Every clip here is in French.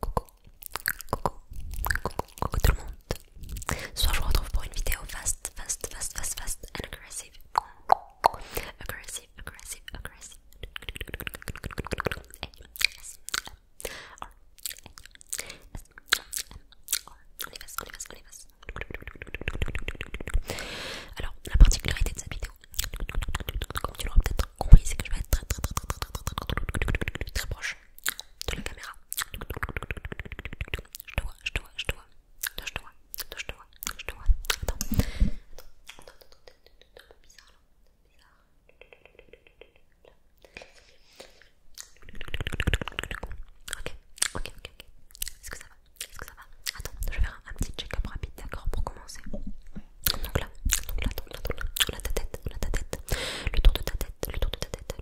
Coucou, coucou, coucou, coucou tout le monde. Ce soir, je vous retrouve pour une vidéo fast, fast, fast, fast, fast, and aggressive. Aggressive, aggressive, aggressive. Alors, la particularité de cette vidéo, comme tu l'auras peut-être oui c'est que je vais être très très très très très proche de la caméra. Je te vois, je te vois, je te vois. je je Attends, attends, attends, attends, attends, bizarre Ok, ok, ok, ok. Est-ce que ça va Attends, je vais faire un petit check-up rapide, d'accord, pour commencer. Donc là, donc là, on a ta tête, on a ta tête, le tour de ta tête, le tour de ta tête,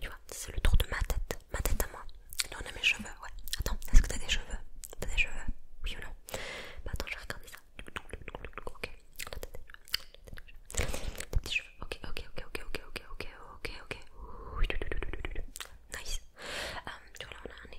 tu vois, c'est le tour de ma tête, ma tête à moi. Là on a mes cheveux, ouais. Attends, est-ce que t'as des cheveux T'as des cheveux Oui ou attends, je vais regarder ça. Ok, Ok, ok, ok, ok, ok, ok, ok, ok, ok. Nice. tu vois là on a un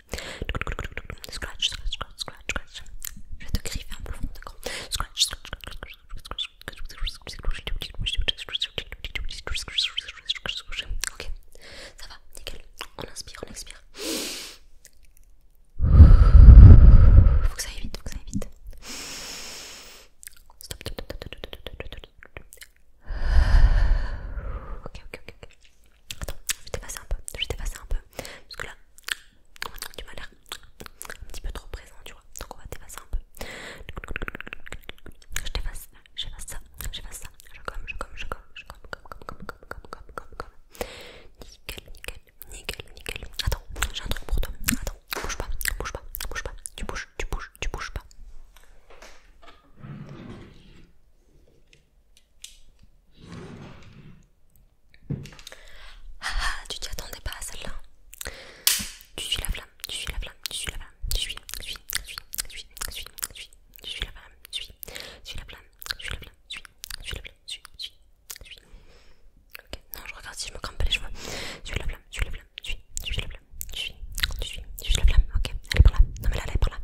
Scratch, scratch, scratch, scratch, Je te un peu Scratch, scratch, scratch, scratch, scratch, Ok, ça va, nickel. On inspire, on expire. Faut que ça aille vite, faut que ça aille vite. Stop, Ok, ok, ok. Attends, je vais t'effacer un peu, je vais t'effacer un peu. Parce que là, tu m'as l'air un petit peu trop présent, tu vois. Donc on va t'effacer un peu. Je t'efface, j'efface ça, j'efface ça. Je je comme, je je comme, comme, comme, comme, comme, comme, Nickel, nickel, nickel, nickel. Attends, j'ai un truc pour toi. Attends, bouge pas, bouge pas, bouge pas. Tu bouges, tu bouges, tu bouges pas. Ah ah, tu t'y attendais pas à celle-là. Tu suis la flamme, tu suis la flamme, tu suis la flamme, tu suis, tu suis, tu suis, tu suis, tu suis, tu suis, tu suis la flamme, tu suis, tu suis la flamme, tu suis la flamme, tu suis, tu suis la flamme, tu suis, tu suis, Ok, non, je regarde si je me crampe pas les cheveux. Tu suis la flamme, tu suis la flamme, tu suis, tu suis la flamme, tu suis, tu suis, tu suis la flamme. Ok, elle est là. Non mais là, elle est par là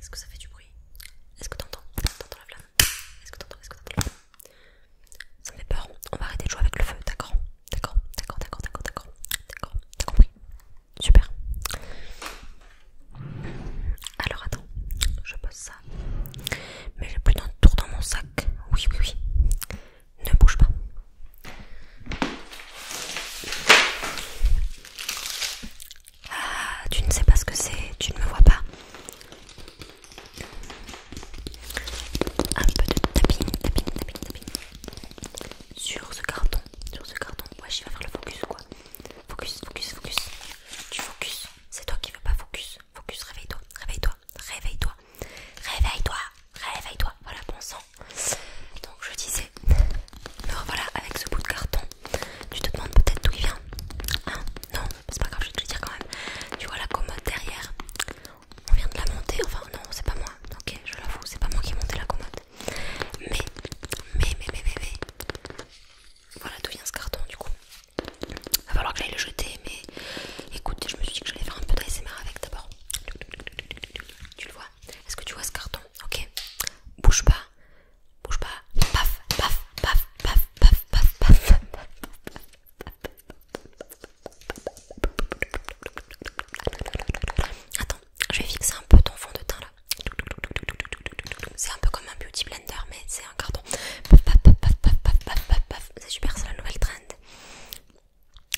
Est-ce que ça fait du bruit Est-ce que t'entends T'entends la flamme Est-ce que t'entends Est-ce que t'entends la flamme Ça me fait peur. On va arrêter de jouer avec le feu, d'accord D'accord, d'accord, d'accord, d'accord, d'accord. D'accord, t'as compris Super. Alors attends, je pose ça. Mais j'ai plus d'un tour dans mon sac. Oui, oui, oui. Ne bouge pas. Ah, tu ne sais pas ce que c'est, tu ne me vois pas. Un peu de tapping, tapping, tapping, tapping. Sur ce carton, sur ce carton. Ouais, je vais faire le focus quoi. Focus, focus, focus. Tu focus. C'est toi qui veux pas focus. Focus, réveille-toi, réveille-toi, réveille-toi. Réveille-toi, réveille-toi. Voilà, bon sang. Donc je disais alors voilà, avec ce bout de carton. Tu te demandes peut-être d'où il vient. Hein Non, c'est pas grave, je vais te le dire quand même. Tu vois la commode derrière. On vient de la monter. Enfin, non, c'est pas moi. Ok, je l'avoue, c'est pas moi qui ai monté la commode. Mais, mais, mais, mais, mais, mais. Voilà d'où vient ce carton du coup. Va falloir que j'aille le jeter, mais écoute, je me suis dit que j'allais faire un peu d'ASMR avec d'abord. Tu le vois Est-ce que tu vois ce carton Ok Bouge pas, Bouge pas. Paf, paf, paf, paf, paf, paf, paf, Attends, je vais fixer un peu ton fond de teint là. C'est un peu comme un beauty blender, mais c'est un carton. Paf, paf, paf, paf, paf, C'est super, c'est la nouvelle trend.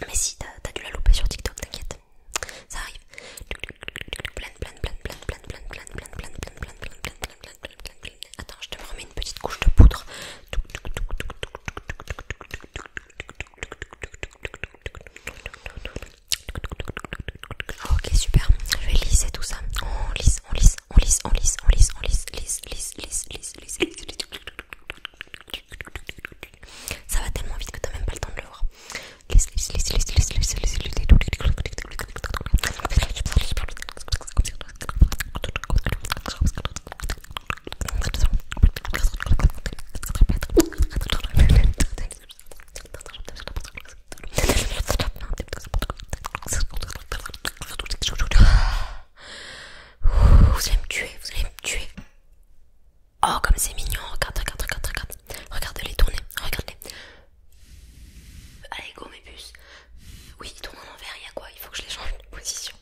Mais si, t'as dû la louper sur TikTok, t'inquiète. Ça arrive. Attends, je te remets une petite couche de poudre. Ah, ok, super. Je vais lisser tout ça. On lisse, on lisse, on lisse, on lisse, on lisse, on lisse, lisse, lisse, lisse, lisse, lisse. Ça va tellement vite que t'as même pas le temps de le voir. Vous allez me tuer, vous allez me tuer. Oh, comme c'est mignon, regarde, regarde, regarde, regarde. Regarde les tourner, regarde Allez, go mes puces. Oui, ils tournent en envers, il y a quoi Il faut que je les change de position.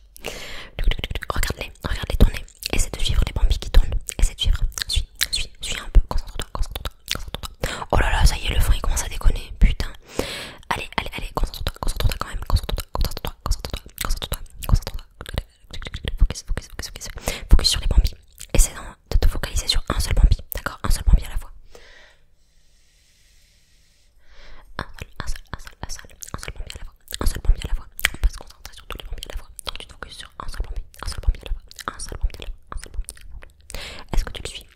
Regarde-les, regarde-les tourner. Essaie de suivre les bambis qui tournent. Essaie de suivre. Suis, suis, suis un peu. Concentre-toi, concentre-toi, concentre-toi. Oh là là, ça y est, le frein il commence à déconner. Putain. Allez, allez, allez, concentre-toi, concentre-toi quand même. Concentre-toi, concentre-toi, concentre-toi, concentre-toi, concentre-toi. Focus, focus, focus, focus. sur les bambis. Essaie d'en de te focaliser sur un seul bambi, d'accord Un seul bambi à la fois. Un seul, un seul, un seul, un seul, un seul bambi à la fois. Un seul bambi à la fois. On peut se concentrer sur tous les bambis à la fois. Donc tu te focuses sur un seul bambi, un seul bambi à la fois. Un seul bambi à la Un seul bambi Est-ce que tu le suis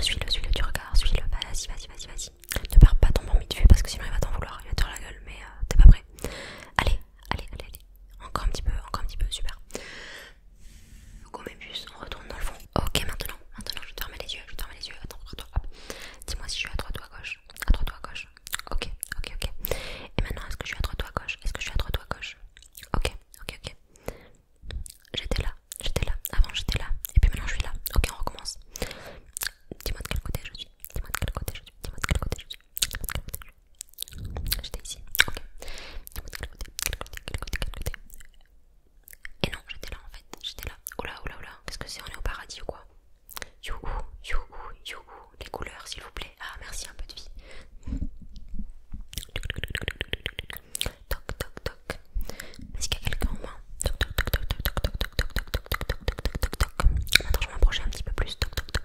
Suis-le, suis-le tu regardes, suis-le. Vas-y, vas-y, vas-y, vas-y. Ne perds pas ton bambi de fais parce que sinon il va t'en vouloir, il va te faire la gueule, mais euh, t'es pas prêt. Allez, allez, allez, allez. Encore un petit peu, encore un petit peu, super. Gommébus, on retourne dans le fond. Ok, maintenant, maintenant je te les yeux, je te les yeux. Attends, attends, Dis-moi si je suis à droite ou à gauche. À droite ou à gauche. Ok, ok, ok. Et maintenant, est-ce que je suis à droite ou à gauche Est-ce que je suis à droite ou à gauche Ok, ok, ok. J'étais là, j'étais là. Avant, j'étais là. Et puis maintenant, je suis là. Ok, on recommence. Dis-moi de quel côté je suis. Dis-moi de quel côté je suis. Dis-moi de quel côté je suis. J'étais ici, ok. Dis-moi de quel côté, quel côté, quel côté, quel côté. Et non, j'étais là en fait, j'étais là. Oula, oula, oula, qu'est-ce que c'est On est au paradis ou quoi Youhou, youhou, youhou, les couleurs s'il vous plaît. Ah, merci, un peu de vie. Toc, toc, toc. Est-ce qu'il y a quelqu'un en Toc, toc, toc, un petit peu plus. toc, toc, toc, toc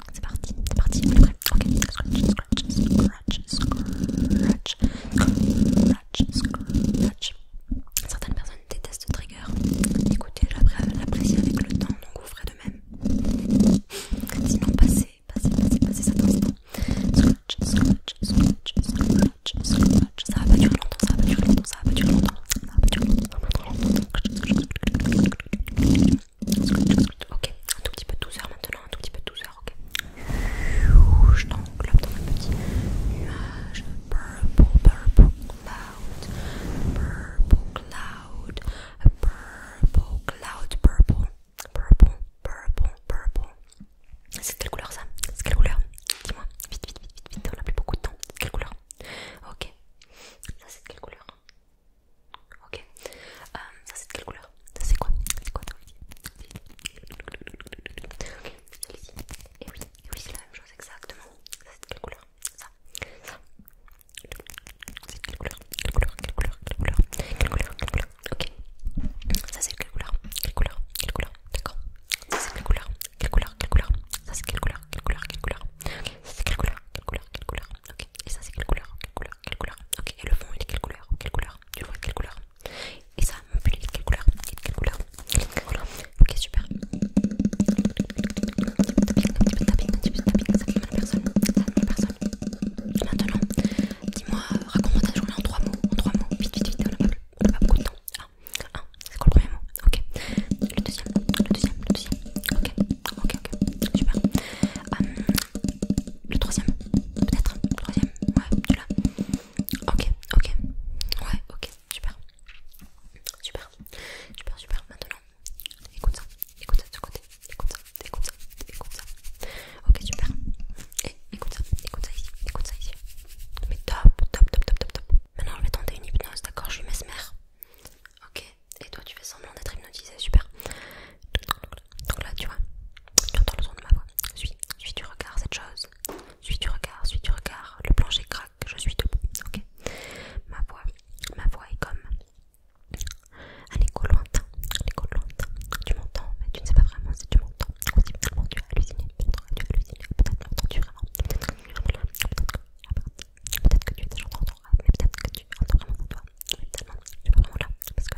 C'est parti, c'est parti. Ok, scratch, scratch, scratch, scratch, scratch, scratch. Certaines personnes détestent trigger. Écoutez, l'apprécie avec le temps, donc vous ferez de même. Sinon, passez, passez, passez, passez cet instant. Scratch, scratch, scratch, scratch, scratch. Ça va durer longtemps, ça va durer longtemps, ça va durer longtemps. Ça va va pas durer longtemps. Ok, un tout petit peu de douceur maintenant, un tout petit peu de douceur, ok. Je t'englobe dans un petit nuage. Purple, purple cloud. Purple cloud. Purple cloud, purple. Purple, purple, purple. C'est quelle couleur ça C'est quelle couleur Dis-moi, vite, vite, vite, vite, vite, on n'a plus beaucoup de temps. C'est quelle couleur Ok. Ça c'est quelle couleur Ok. ça c'est de quelle couleur Ça c'est quoi C'est quoi Ok, ci Et oui, c'est la même chose exactement. Ça c'est de quelle couleur Ça. Ça. C'est de quelle couleur Quelle couleur Quelle couleur Quelle couleur Quelle couleur Quelle couleur Ok. Ça c'est de quelle couleur Quelle couleur Quelle couleur D'accord. Ça c'est de quelle couleur Quelle couleur Quelle couleur Ça c'est quelle couleur Quelle couleur Quelle couleur Ça c'est quelle couleur Quelle couleur Quelle couleur Ok. Et ça c'est quelle couleur Quelle couleur Quelle couleur Ok. Et le fond il est quelle couleur Quelle couleur couleur Tu vois de quelle couleur Et ça, mon pull, il est de quelle couleur de quelle couleur Ok, super. Un petit peu de tapping, un petit peu de tapping, ça fait mal à personne. Ça fait mal à personne. Maintenant, raconte-moi ta journée en trois mots. En trois mots, vite, vite, vite, on n'a pas, beaucoup de temps. Ah, ah c'est quoi le premier mot Ok. Le deuxième, le deuxième, le deuxième. Ok, ok, ok, super. Euh, le troisième, peut-être Le troisième, ouais, celui-là. Ok, ok, ouais, ok, super. Super, super, super. Maintenant, écoute ça, écoute ça de ce côté, écoute ça, écoute ça, écoute ça. Ok, super. Et eh, écoute ça, écoute ça ici, écoute ça ici. Mais top, top, top, top, top, Maintenant, je vais tenter une hypnose, d'accord Je lui mesmer. Ok, et toi, tu fais semblant d'être hypnotisé, super. Donc là, tu vois, tu entends le son de ma voix. Suis, suis du regard cette chose. Suis du regard, suis du regard. Le plancher craque, je suis debout. Ok. Ma voix, ma voix est comme un écho lointain, un écho Tu m'entends, mais tu ne sais pas vraiment si tu m'entends. tu as halluciné. Peut-être tu as halluciné. Peut-être vraiment. Peut-être que tu es là. Peut-être que tu es vraiment, peut-être que tu entends vraiment pour toi. peut tu es vraiment là parce que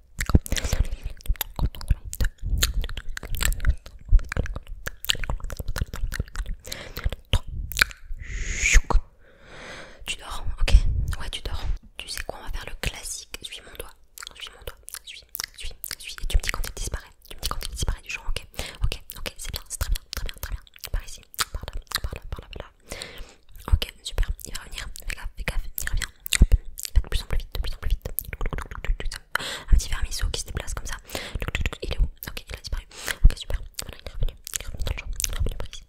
tu dors, ok Ouais, tu dors. Tu sais quoi On va faire le classique. Suis mon doigt. Suis mon doigt. Suis, suis, suis. Et tu me dis quand il disparaît. Tu me dis quand il disparaît du genre, ok Ok, ok, c'est bien, c'est très bien, très bien, très bien. Par ici, par là, par là, par là, par là, Ok, super, il va revenir. Fais gaffe, fais gaffe, il revient. Hop, il va de plus en plus vite, de plus en plus vite. Un petit vermisseau qui se déplace comme ça. Il est où Ok, il a disparu. Ok, super. Voilà, il est revenu. Il est revenu dans le champ. Il est revenu par ici.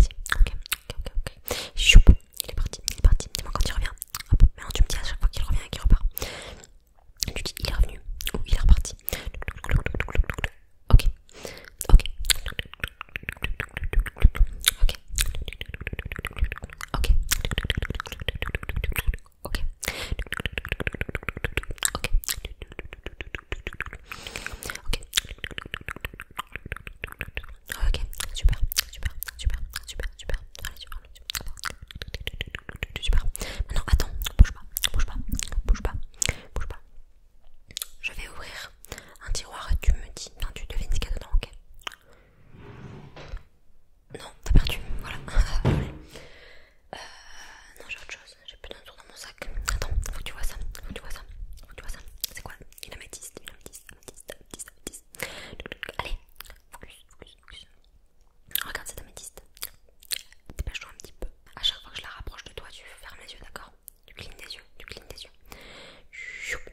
ici. Ok, ok, ok, il est parti, il est parti. Dis-moi quand il revient. Hop, maintenant tu me dis à chaque fois qu'il revient et qu'il repart. Tu dis il est revenu ou il est reparti. Ok, ok. Ok. Ok. Ok. Ok. Ok. Ok, super, super, super, super, super. super, super. Super. attends, bouge pas, bouge pas, bouge pas, Je vais ouvrir un tiroir et tu me dis, Non tu devines ce dedans, ok non, t'as perdu, voilà. Euh, non, j'ai autre chose, j'ai plus d'un tour dans mon sac. Attends, faut que tu vois ça, faut que tu vois ça, faut que tu vois ça. C'est quoi Une améthyste, une améthyste, améthyste, améthyste, améthyste. Allez, focus, focus, focus. Regarde cette améthyste. Dépêche-toi un petit peu. À chaque fois que je la rapproche de toi, tu fermes les yeux, d'accord Tu clignes des yeux, tu clignes des yeux.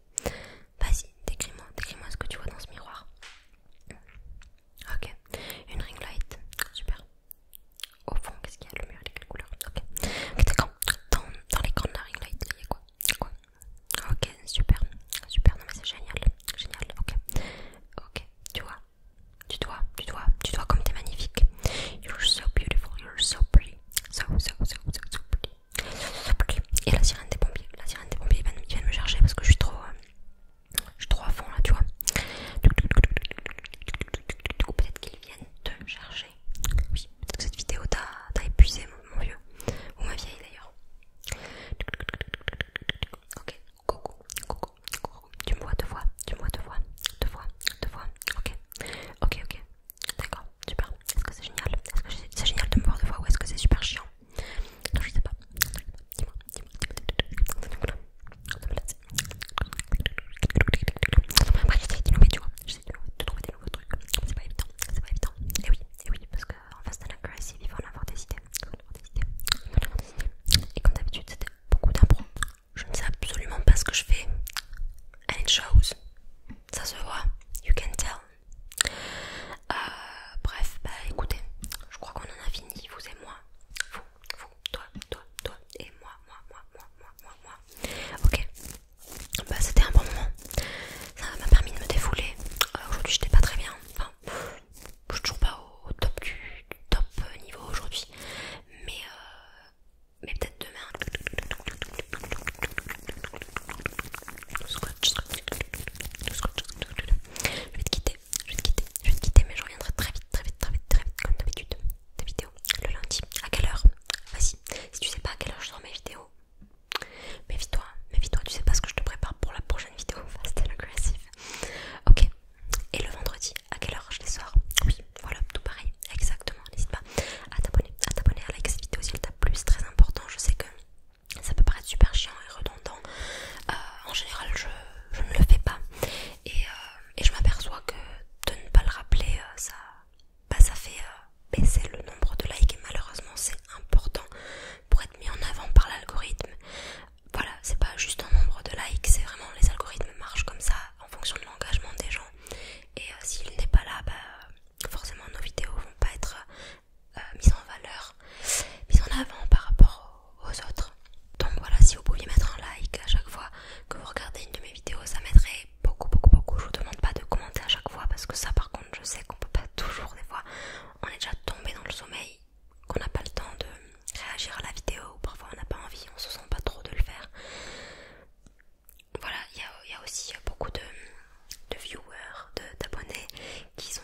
Vas-y, décris-moi, décris-moi ce que tu vois dans ce miroir. Ok, une ring light, super. Au fond, qu'est-ce qu'il y a Le mur, les quelle couleur Ok, okay Dans, les l'écran de la ring light, il y a quoi, quoi Ok, super, super. Non mais c'est génial, génial. Ok, ok. Tu vois, tu vois, tu vois, tu vois comme t'es magnifique. You're so beautiful, you're so pretty, so so so so, pretty pretty, so, so pretty. Et la sirène des pompiers, sirènes des pompiers viennent, me chercher parce que je suis trop euh, je suis trop à fond là tu vois peut-être qu'ils viennent te chercher oui peut-être que cette vidéo t'a épuisé mon, vieux ou ma vieille d'ailleurs ok coucou coucou coucou tu me vois deux fois tu me vois deux fois, deux fois, deux fois. ok ok ok d'accord super est-ce que c'est génial est-ce que c'est génial de me voir deux fois ou est-ce que c'est super chiant je sais pas. Dis-moi, dis-moi, dis-moi. Après, j'essaie mais tu vois. J'essaie de trouver des nouveaux trucs. C'est pas évident, c'est pas évident. Et oui, et oui, parce en face de la Gracie, il faut en avoir des idées. Et comme d'habitude, c'était beaucoup d'impro. Je ne sais absolument pas ce que je fais. And it shows. Ça se voit. You can tell. Euh, bref, bah écoutez, je crois qu'on en a fini, vous et moi. Vous, vous, toi, toi, toi et moi, moi, moi, moi, moi, moi, moi. Ok, bah c'était un bon moment. Ça m'a permis de me défouler. Euh, aujourd'hui, j'étais pas très bien. Enfin, je suis toujours pas au, top du, top euh, niveau aujourd'hui. Mais, mais peut-être demain. Je vais te quitter, je vais te quitter, je vais te quitter, mais je reviendrai très vite, très vite, très vite, très vite, comme d'habitude, des vidéos le lundi. À quelle heure Vas-y, si tu sais pas à quelle heure je sors mes vidéos, méfie-toi, méfie-toi, tu sais pas ce que je te prépare pour la prochaine vidéo, fast and aggressive. Ok, et le vendredi, à quelle heure je les sors Oui, voilà, tout pareil, exactement, n'hésite pas à t'abonner, à t'abonner, à liker cette vidéo si elle t'a plu, c'est très important, je sais que ça peut paraître super chiant et redondant. Euh, en général, je, ne le fais pas. Euh, et, je m'aperçois que de ne pas le rappeler, euh, ça, bah, ça fait baisser le nombre de likes. Et malheureusement, c'est important pour être mis en avant par l'algorithme. Voilà, c'est pas juste un nombre de likes, c'est vraiment les algorithmes marchent comme ça en fonction de l'engagement des gens. Et s'il n'est pas là, bah, forcément nos vidéos vont pas être euh, mise en valeur, mise en avant par rapport aux, autres. Donc voilà, si vous pouviez mettre un like à chaque fois que vous regardez une de mes vidéos, ça m'aiderait beaucoup, beaucoup, beaucoup. Je vous demande pas de commenter à chaque fois parce que ça, par contre, je sais qu'on peut pas toujours, des fois, on est déjà tombé dans le sommeil, qu'on n'a pas le temps de réagir à la vidéo ou parfois on n'a pas envie, on se sent pas trop de le faire. Voilà, il y, a aussi beaucoup de, de viewers, d'abonnés qui sont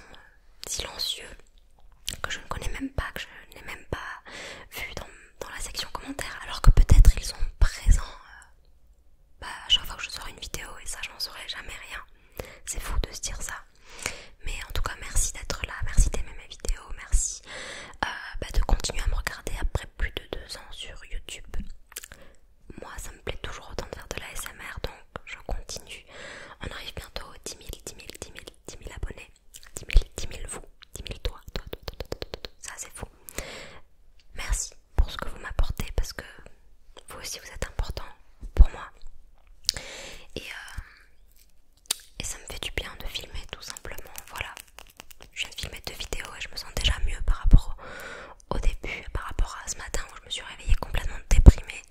silencieux que je ne connais même pas, que je n'ai même pas vu dans, la section commentaires, alors que peut-être ils sont présents euh, bah, à chaque fois que je sors une vidéo et ça, je n'en saurais jamais rien. C'est fou de se dire ça. Mais en tout cas, merci d'être là, merci d'aimer mes vidéos, merci euh, bah, de continuer à me regarder après plus de deux ans sur YouTube. Moi, ça me plaît toujours autant de faire de la SMR, donc je continue. On arrive bientôt aux 10 000, 10 000, 10 000, 10 000 abonnés. 10 000, 10 000 vous, 10 000 toi, toi, toi, ça c'est fou. Merci pour ce que vous m'apportez parce que vous aussi vous êtes important pour moi. Et, euh, et ça me fait du bien de filmer tout simplement. Voilà, je viens de filmer deux vidéos et je me sens déjà mieux par rapport au début, par rapport à ce matin où je me suis réveillée complètement déprimée.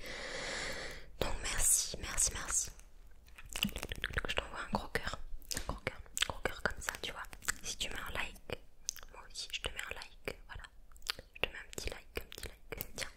Donc merci, merci, merci. Je t'envoie un gros cœur, un gros cœur, un gros cœur comme ça, tu vois. Si tu mets un like, moi aussi je te mets un like, voilà. Je te mets un petit like, un petit like. Tiens.